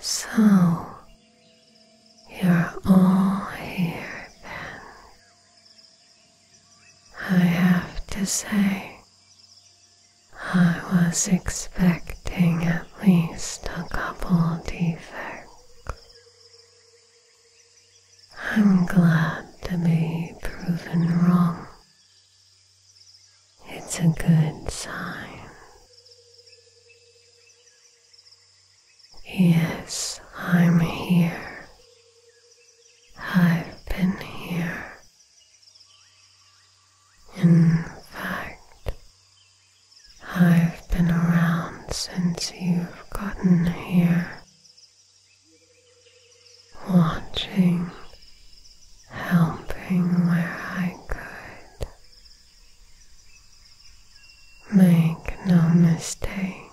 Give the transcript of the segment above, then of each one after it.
So you're all here then. I have to say, I was expecting at least a couple defects. I'm glad to be proven wrong it's a good sign. Yes, I'm here. I've been here. In fact, I've been around since you've gotten here, watching helping where I could. Make no mistake,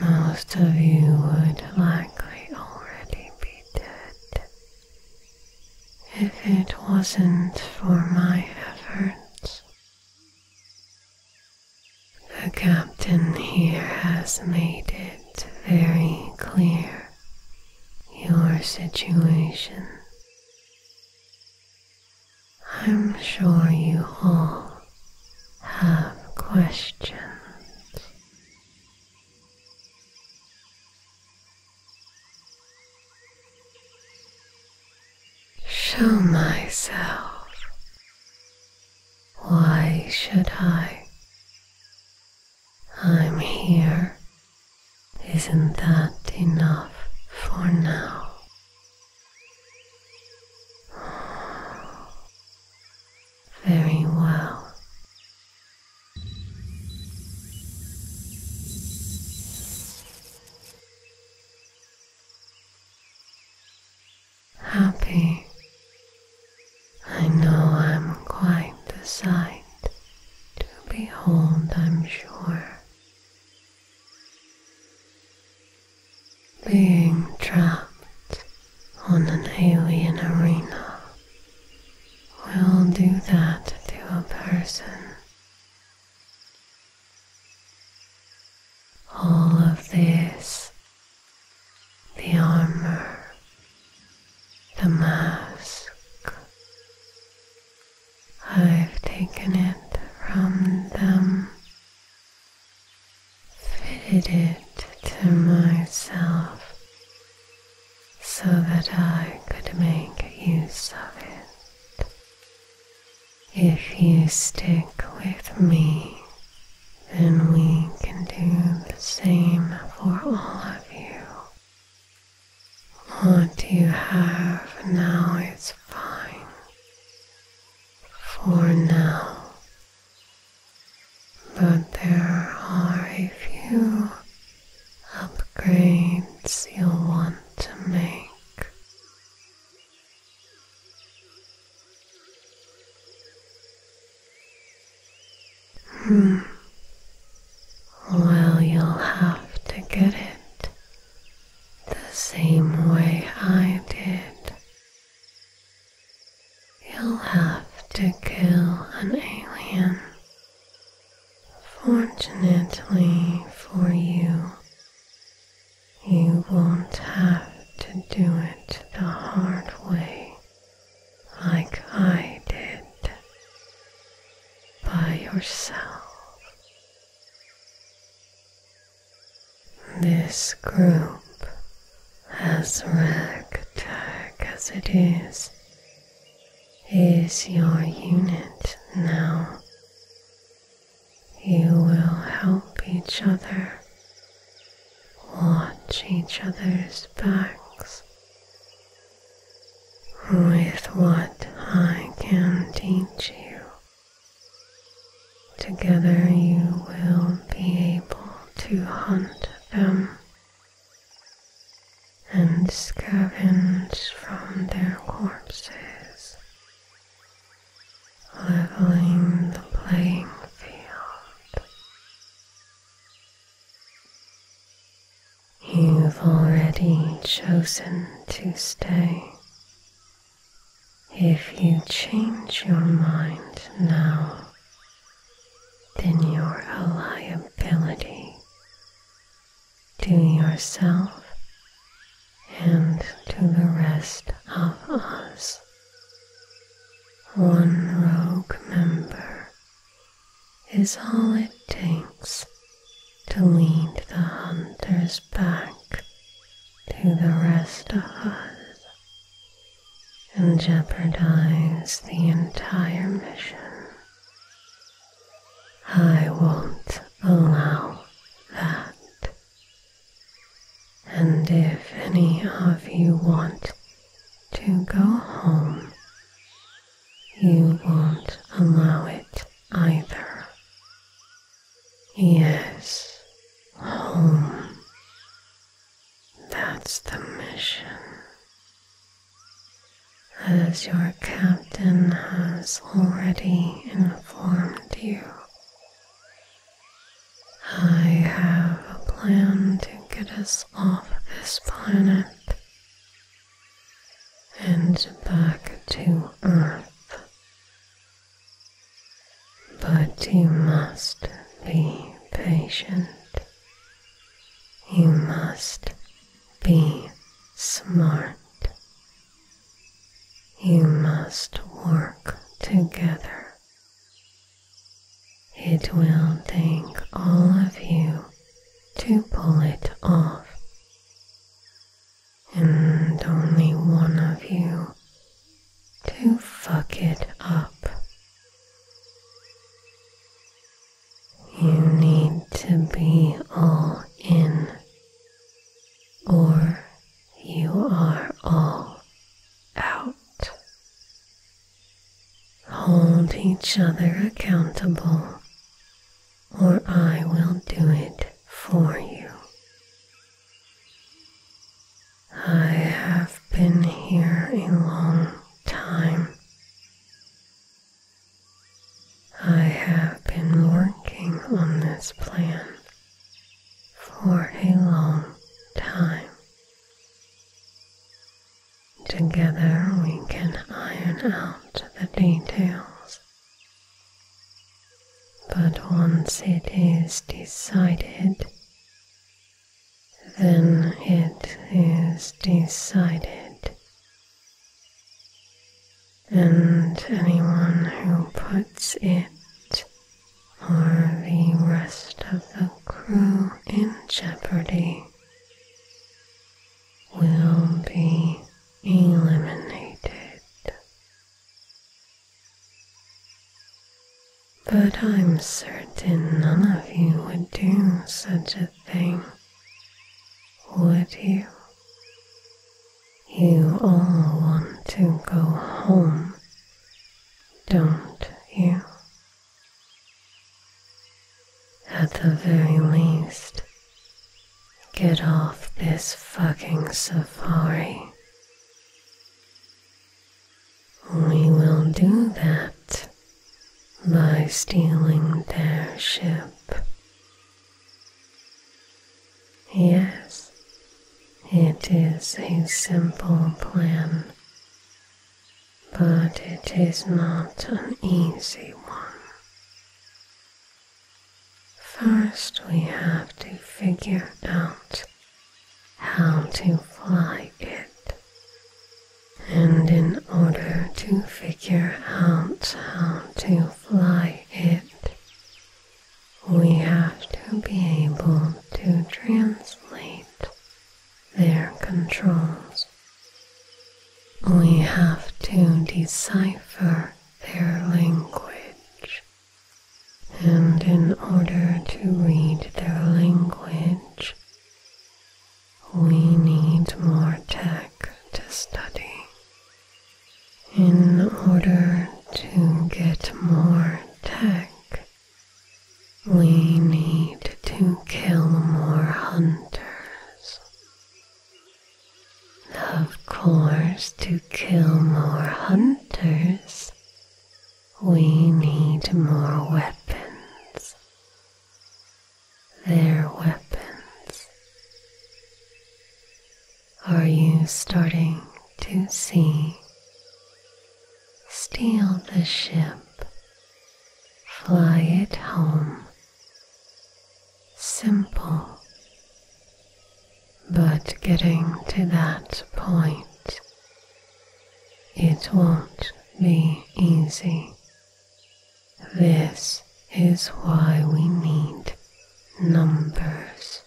most of you would likely already be dead if it wasn't for my efforts. The captain here has made it very clear your situation. I'm sure you all have questions. Show myself. Why should I I'm here. Isn't that enough for now? Very well. Happy I know I'm quite the sight to behold, I'm sure. Being trapped on an alien arena will do that to a person. All of this the armor, the mask. I've taken it from them, fitted it to myself so that I could make use of it. If you stick with me, then we can do the same for all have you? What you have now is fine. For now. But there are a few upgrades you'll want to make. Hmm. Well, you'll have to get it the same way I did. You'll have to kill an alien. Fortunately for you, you won't have to do it the hard way like I did by yourself. This group, as ragtag as it is, is your unit now. You will help each other, watch each other's backs with what I can teach you. Together you will be able to hunt them and scavenge from their corpses, leveling the playing field You've already chosen to stay. If you change your mind now, then you're a liability to yourself and to the rest of us. One rogue member is all it takes to lead the hunters back to the rest of us and jeopardize the entire mission. I won't allow that. And if any of you want to go home, you won't allow it either. Yes, home. That's the mission. As your captain has already informed you, I have a plan to get us surface of this planet and back to Earth. But you must be patient. You must be smart. You must work together it will take all of you to pull it off, and only one of you to fuck it up. You need to be all in, or you are all out. Hold each other accountable, or I will do it for you. I have been here a long time. I have been working on this plan for a long time. Together we can iron out the details. But once it is decided, then it is decided. And anyone who puts it or the rest of the Crew in jeopardy will be eliminated. But I'm certain none of you would do such a thing, would you? You all want to go home, don't you? At the very least, get off this fucking safari. We will do that by stealing their ship. Yes, it is a simple plan, but it is not an easy one. First, we have to figure out how to fly it. And in order to figure out how to fly it, we have to be able to translate their controls. We have to decipher their language, and in order to read their language, we need more tech to study. In order to get more tech, we need to kill more hunters. Of course, to kill more hunters, we need more weapons. Their weapons. Are you starting to see? Steal the ship Fly it home. Simple, but getting to that point, it won't be easy. This is why we need numbers.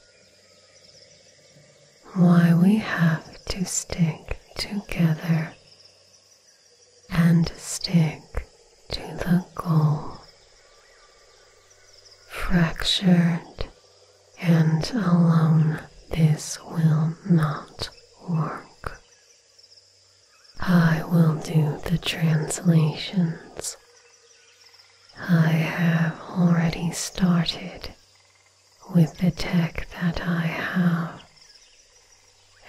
Why we have to stick together and stick to the goal. Fractured and alone, this will not work. I will do the translations. I have already started with the tech that I have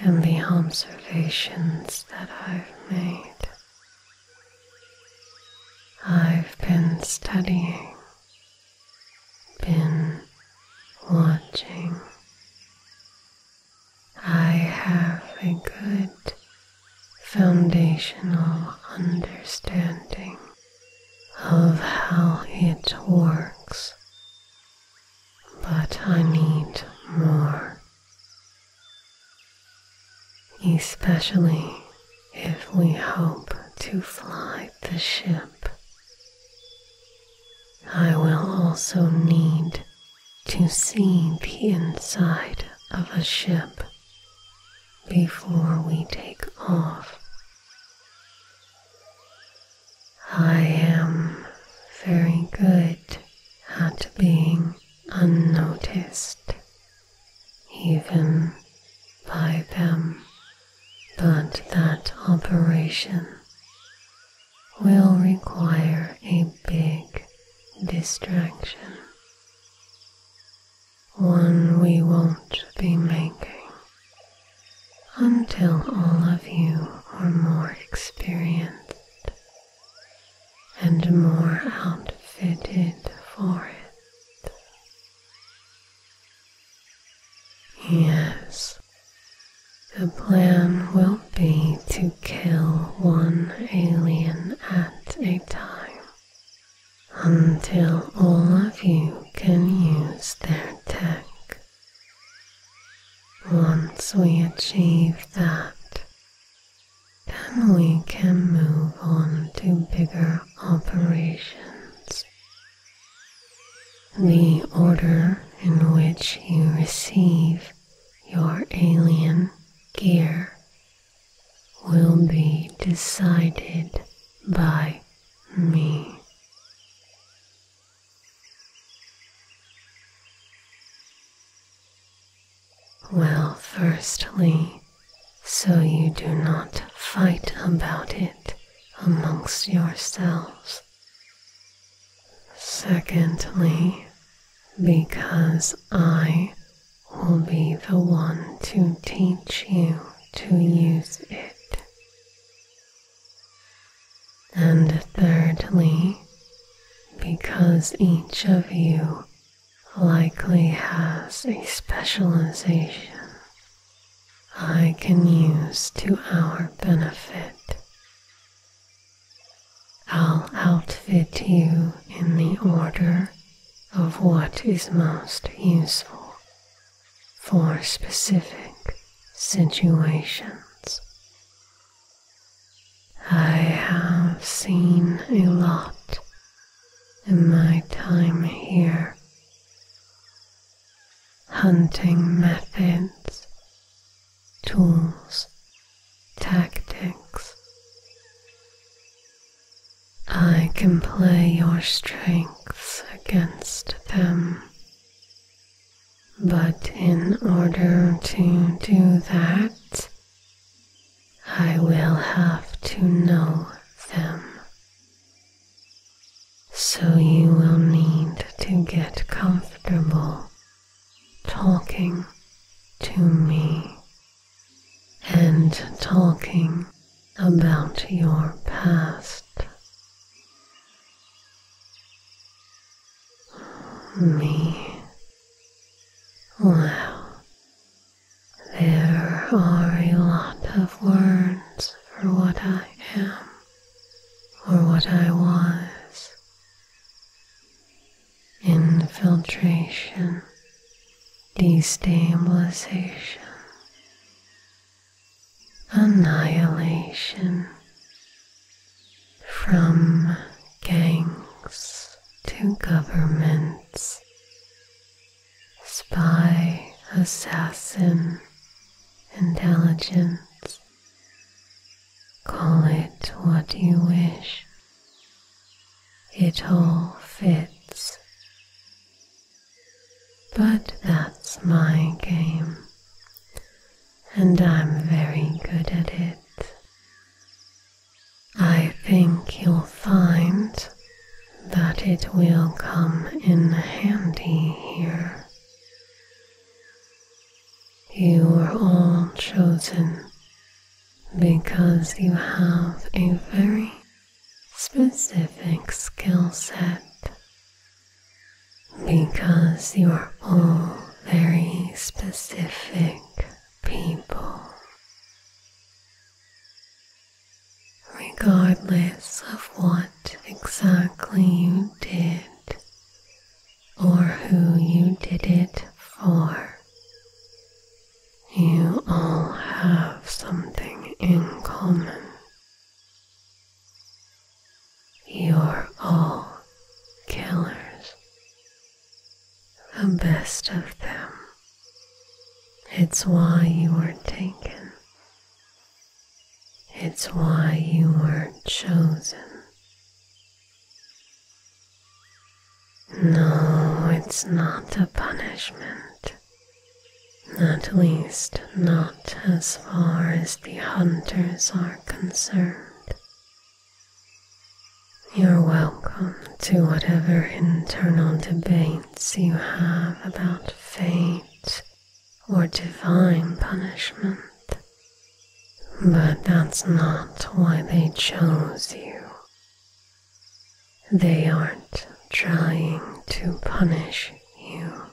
and the observations that I've made. I've been studying, been watching. I have a good foundational understanding of how it works but I need more, especially if we hope to fly the ship. I will also need to see the inside of a ship before we take off. I am very good at being unnoticed, even by them, but that operation will require a big distraction, one we won't be making until all of you are more experienced and more outfitted for it. Yes, the plan will be to kill one alien at a time until all of you can use their tech. Once we achieve that, then we can move on to bigger operations. The order in which you receive your alien gear will be decided by me. Well, firstly, so you do not fight about it amongst yourselves. Secondly, because I will be the one to teach you to use it. And thirdly, because each of you likely has a specialization I can use to our benefit. I'll outfit you in the order of what is most useful for specific situations. I have seen a lot in my time here. Hunting methods, tools, tactics. I can play your strengths against them but in order to do that, I will have to know them. So you will need to get comfortable talking to me and talking about your past me. Wow, there are a lot of words for what I am or what I was. Infiltration, destabilization, annihilation from gangs to governments, spy, assassin, intelligence. Call it what you wish. It all fits. But that's my game, and I'm very good at it. I think you'll find that it will come in handy here. You were all chosen because you have a very specific skill set because you are all very specific people. Regardless of what exactly you did or who you did it for, you all have something in common. You're all killers, the best of them. It's why you were not taken. It's why you weren't chosen. No, it's not a punishment. At least, not as far as the hunters are concerned. You're welcome to whatever internal debates you have about fate or divine punishment. But that's not why they chose you. They aren't trying to punish you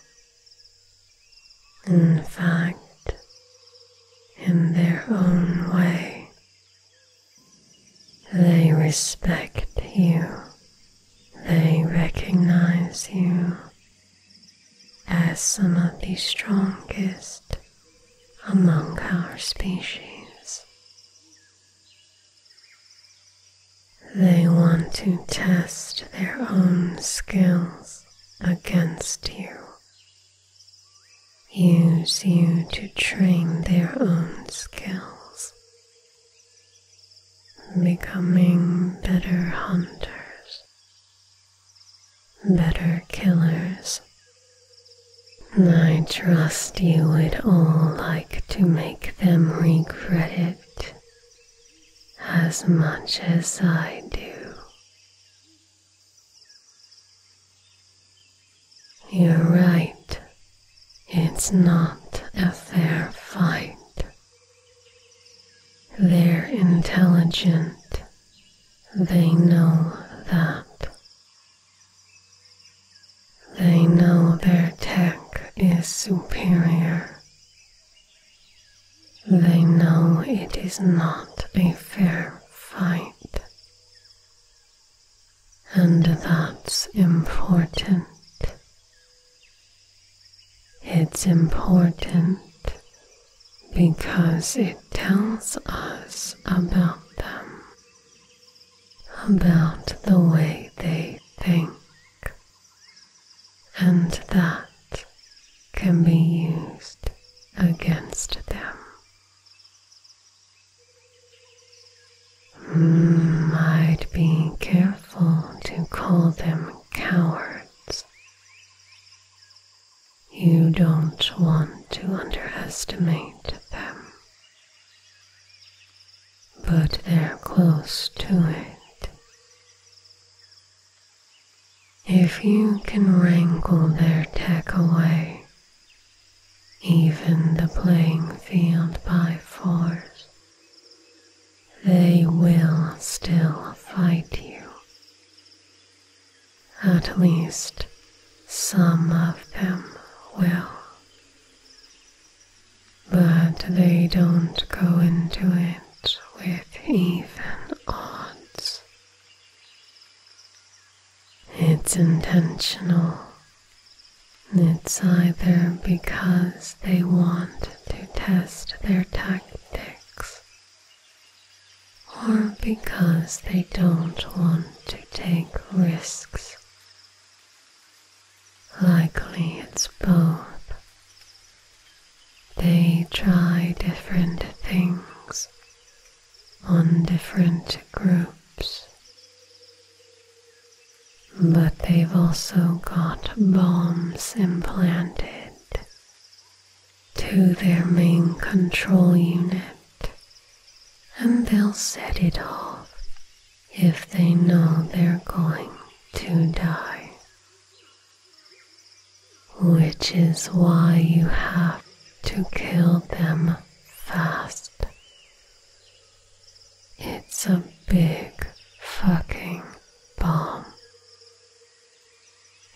in fact, in their own way, they respect you, they recognize you as some of the strongest among our species. They want to test their own skills against you, use you to train their own skills, becoming better hunters, better killers. I trust you would all like to make them regret it as much as I do. You're right, it's not a fair fight. They're intelligent, they know that. They know their tech is superior they know it is not a fair fight, and that's important. It's important because it tells us about them, about the way they think, and that can be used against them. Mm, be careful to call them cowards. You don't want to underestimate them, but they're close to it if you can wrangle their tech away, even the playing field by force, they will still fight you. At least some of them will but they don't go into it with even odds. It's intentional. It's either because they want to test their tactics or because they don't want to take risks. Likely it's both. They try different things on different groups. But they've also got bombs implanted to their main control unit and they'll set it off if they know they're going to die which is why you have to kill them fast. It's a big fucking bomb.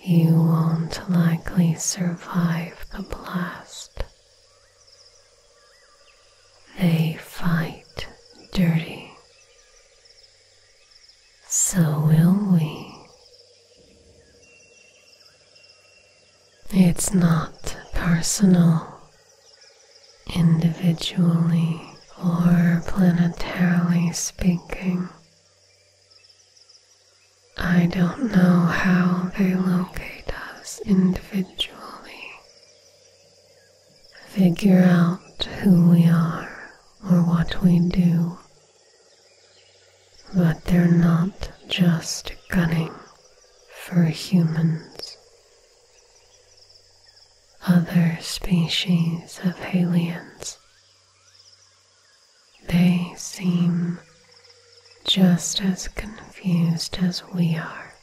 You won't likely survive the blast. They fight dirty so will we. It's not personal, individually or planetarily speaking. I don't know how they locate us individually figure out who we are or what we do. But they're not just gunning for humans. Other species of aliens. They seem just as confused as we are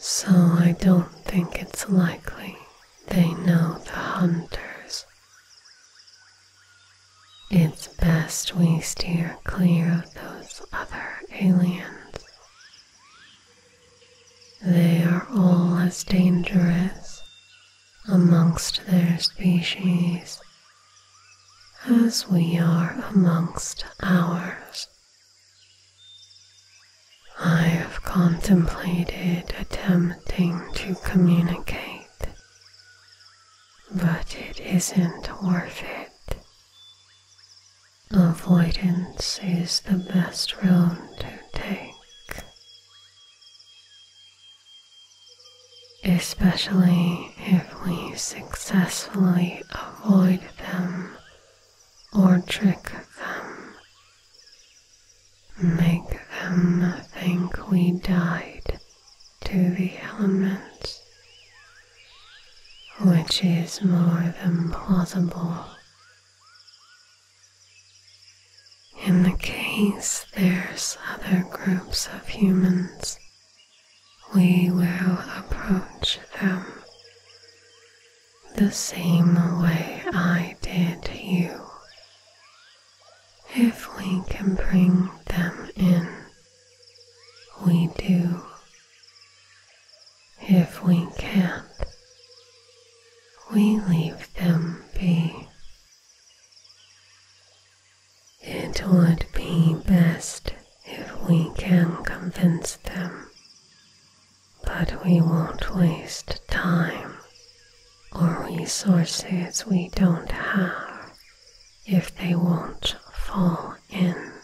so I don't think it's likely they know the hunters. It's best we steer clear of those other aliens. They are all as dangerous amongst their species as we are amongst ours. I have contemplated attempting to communicate, but it isn't worth it. Avoidance is the best road to take. especially if we successfully avoid them or trick them. Make them think we died to the elements, which is more than possible. In the case there's other groups of humans, we will approach them the same way I did you. If we can bring them in, we do. If we can't, we leave them be. It would be best if we can convince them but we won't waste time or resources we don't have if they won't fall in.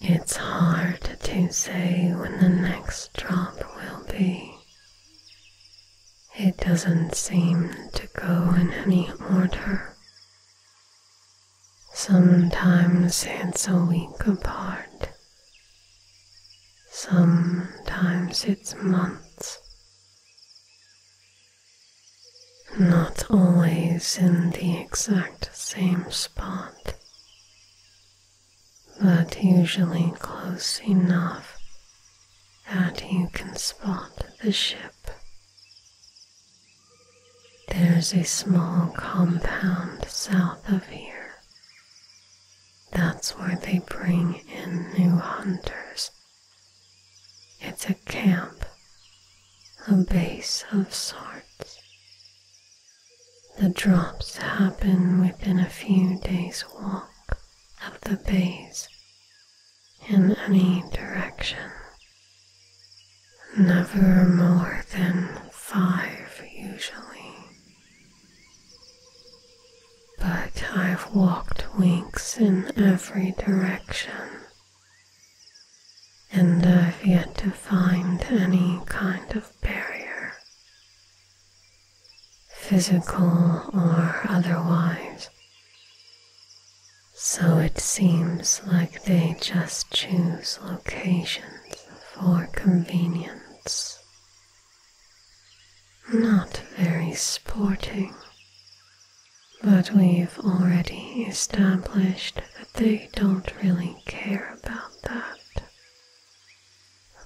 It's hard to say when the next drop will be. It doesn't seem to go in any order. Sometimes it's a week apart. Sometimes it's months. Not always in the exact same spot, but usually close enough that you can spot the ship. There's a small compound south of here. That's where they bring in new hunters. It's a camp, a base of sorts. The drops happen within a few days' walk of the base in any direction never more than five usually. But I've walked winks in every direction, and I've yet to find any kind of barrier, physical or otherwise. So it seems like they just choose locations for convenience. Not very sporting, but we've already established that they don't really care about that.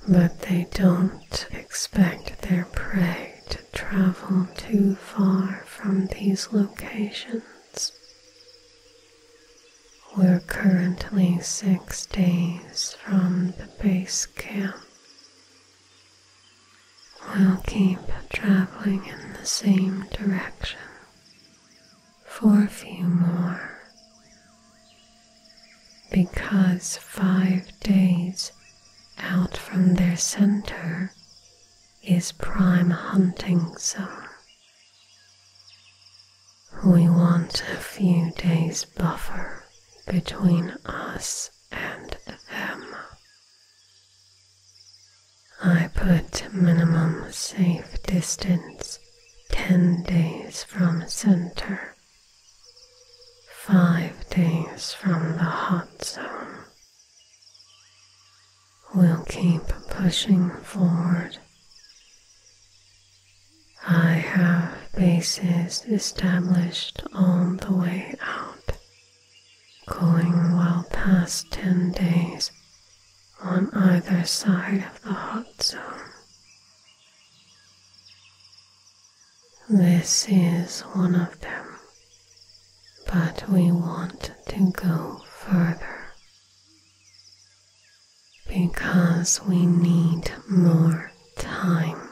But they don't expect their prey to travel too far from these locations. We're currently six days from the base camp. We'll keep traveling in the same direction for a few more. Because five days out from their center is prime hunting zone. We want a few days buffer between us and them. I put minimum safe distance 10 days from center, 5 days from the hot zone. We'll keep pushing forward I have bases established on the way out, going well past 10 days on either side of the hot zone. This is one of them, but we want to go further because we need more time.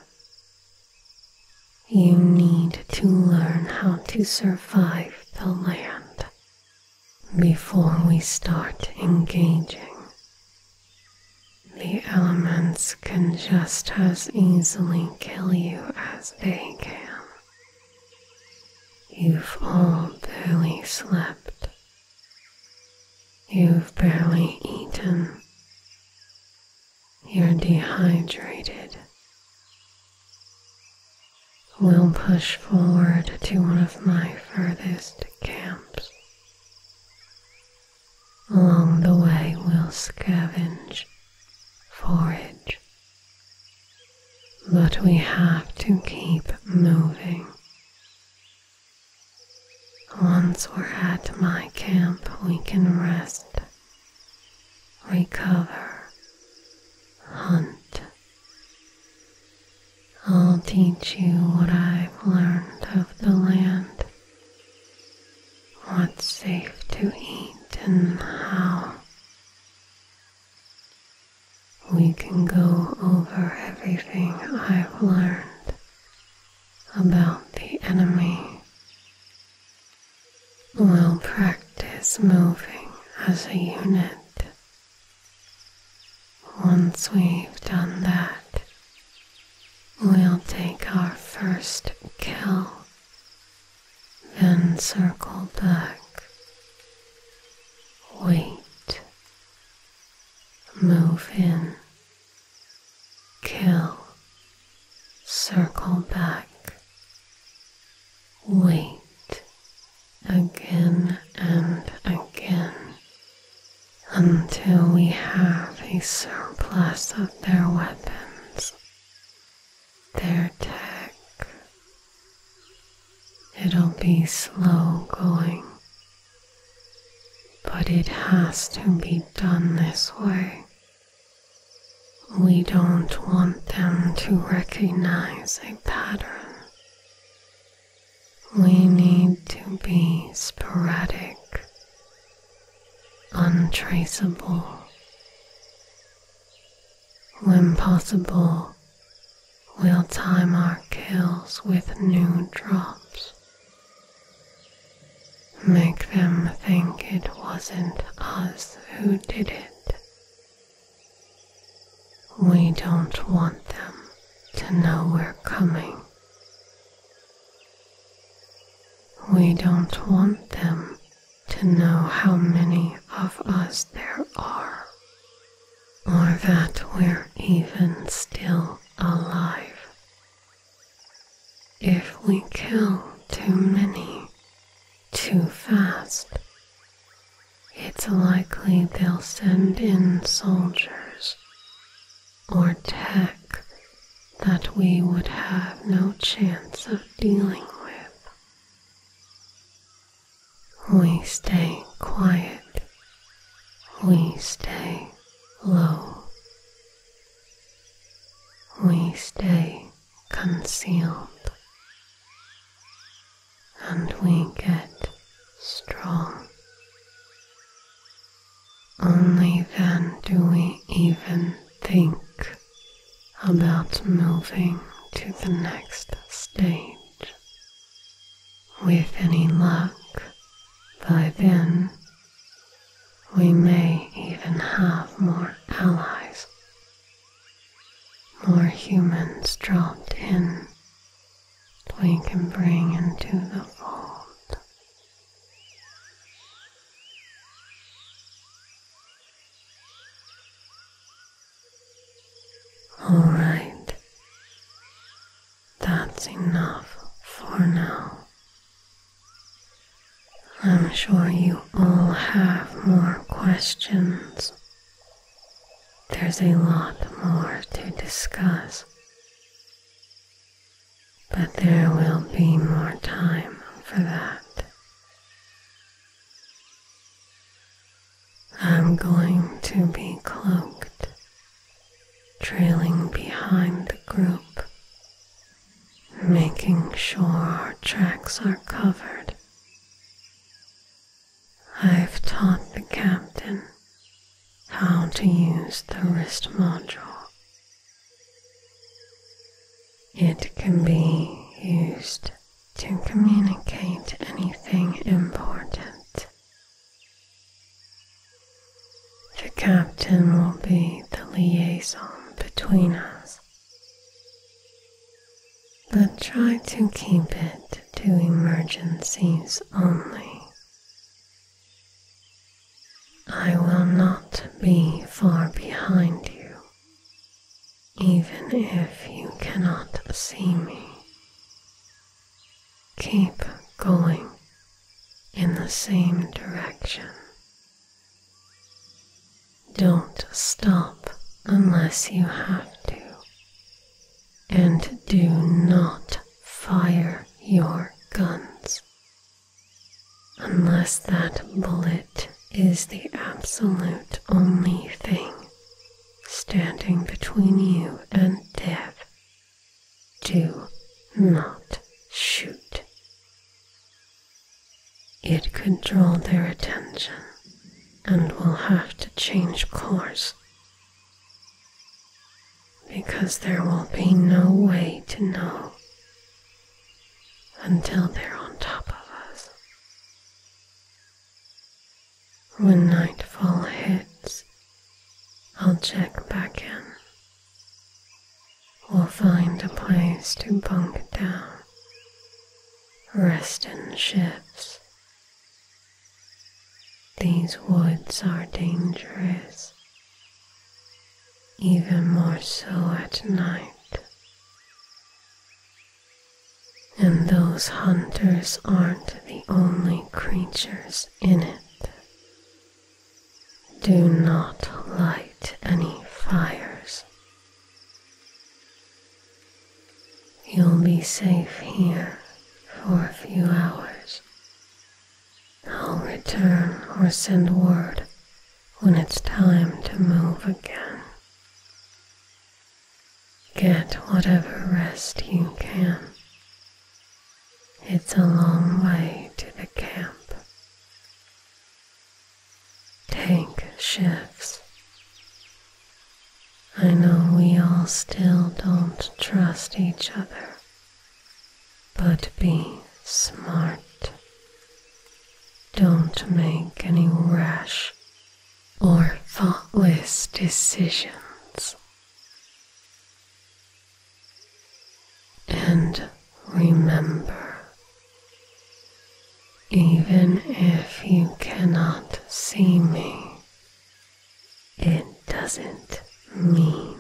You need to learn how to survive the land before we start engaging. The elements can just as easily kill you as they can. You've all barely slept You've barely eaten. You're dehydrated. We'll push forward to one of my furthest camps. Along the way, we'll scavenge, forage. But we have to keep moving once we're at my camp, we can rest, recover, hunt. I'll teach you what I've learned of the land, what's safe to eat, and how we can go over everything I've learned about the enemy. We'll practice moving as a unit. Once we've done that, we'll take our first kill, then circle back. Wait move in, kill, circle back, wait again and again until we have a surplus of their weapons, their tech, It'll be slow going, but it has to be done this way. We don't want them to recognize a pattern. We need to be sporadic, untraceable. When possible, We'll time our kills with new drops. Make them think it wasn't us who did it. We don't want them to know we're coming. We don't want them to know how many of us there are or that we're even still alive. If we kill too many, too fast, it's likely they'll send in soldiers or tech that we would have no chance of dealing with. We stay quiet. We stay low. We stay concealed. And we get strong. Only then do we even think about moving to the next stage. With any luck, by then, we may even have more allies. More humans dropped in we can bring into the fold. All right, that's enough for now. I'm sure you all have more questions. There's a lot more to discuss, but there will be more time for that. I'm going to be cloaked, trailing behind the group, making sure our tracks are covered. I've taught the captain how to use the wrist module. It can be used to communicate anything important the captain will be the liaison between us, but try to keep it to emergencies only. I will not be far behind you, even if you cannot see me. Keep going in the same direction. Don't stop unless you have to, and do not fire your guns unless that bullet is the absolute only thing standing between you and death. Do not shoot. It could draw their attention and we will have to change course because there will be no way to know until they're on top of us. When nightfall hits, I'll check back in. We'll find a place to bunk down, rest in shifts. These woods are dangerous, even more so at night. And those hunters aren't the only creatures in it. Do not light any fires. You'll be safe here for a few hours. I'll return or send word when it's time to move again. Get whatever rest you can. It's a long way to the camp. Take shifts. I know we all still don't trust each other, but be smart. Don't make any rash or thoughtless decisions, and remember, even if you cannot see me, it doesn't mean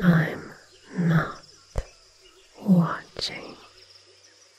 I'm not watching.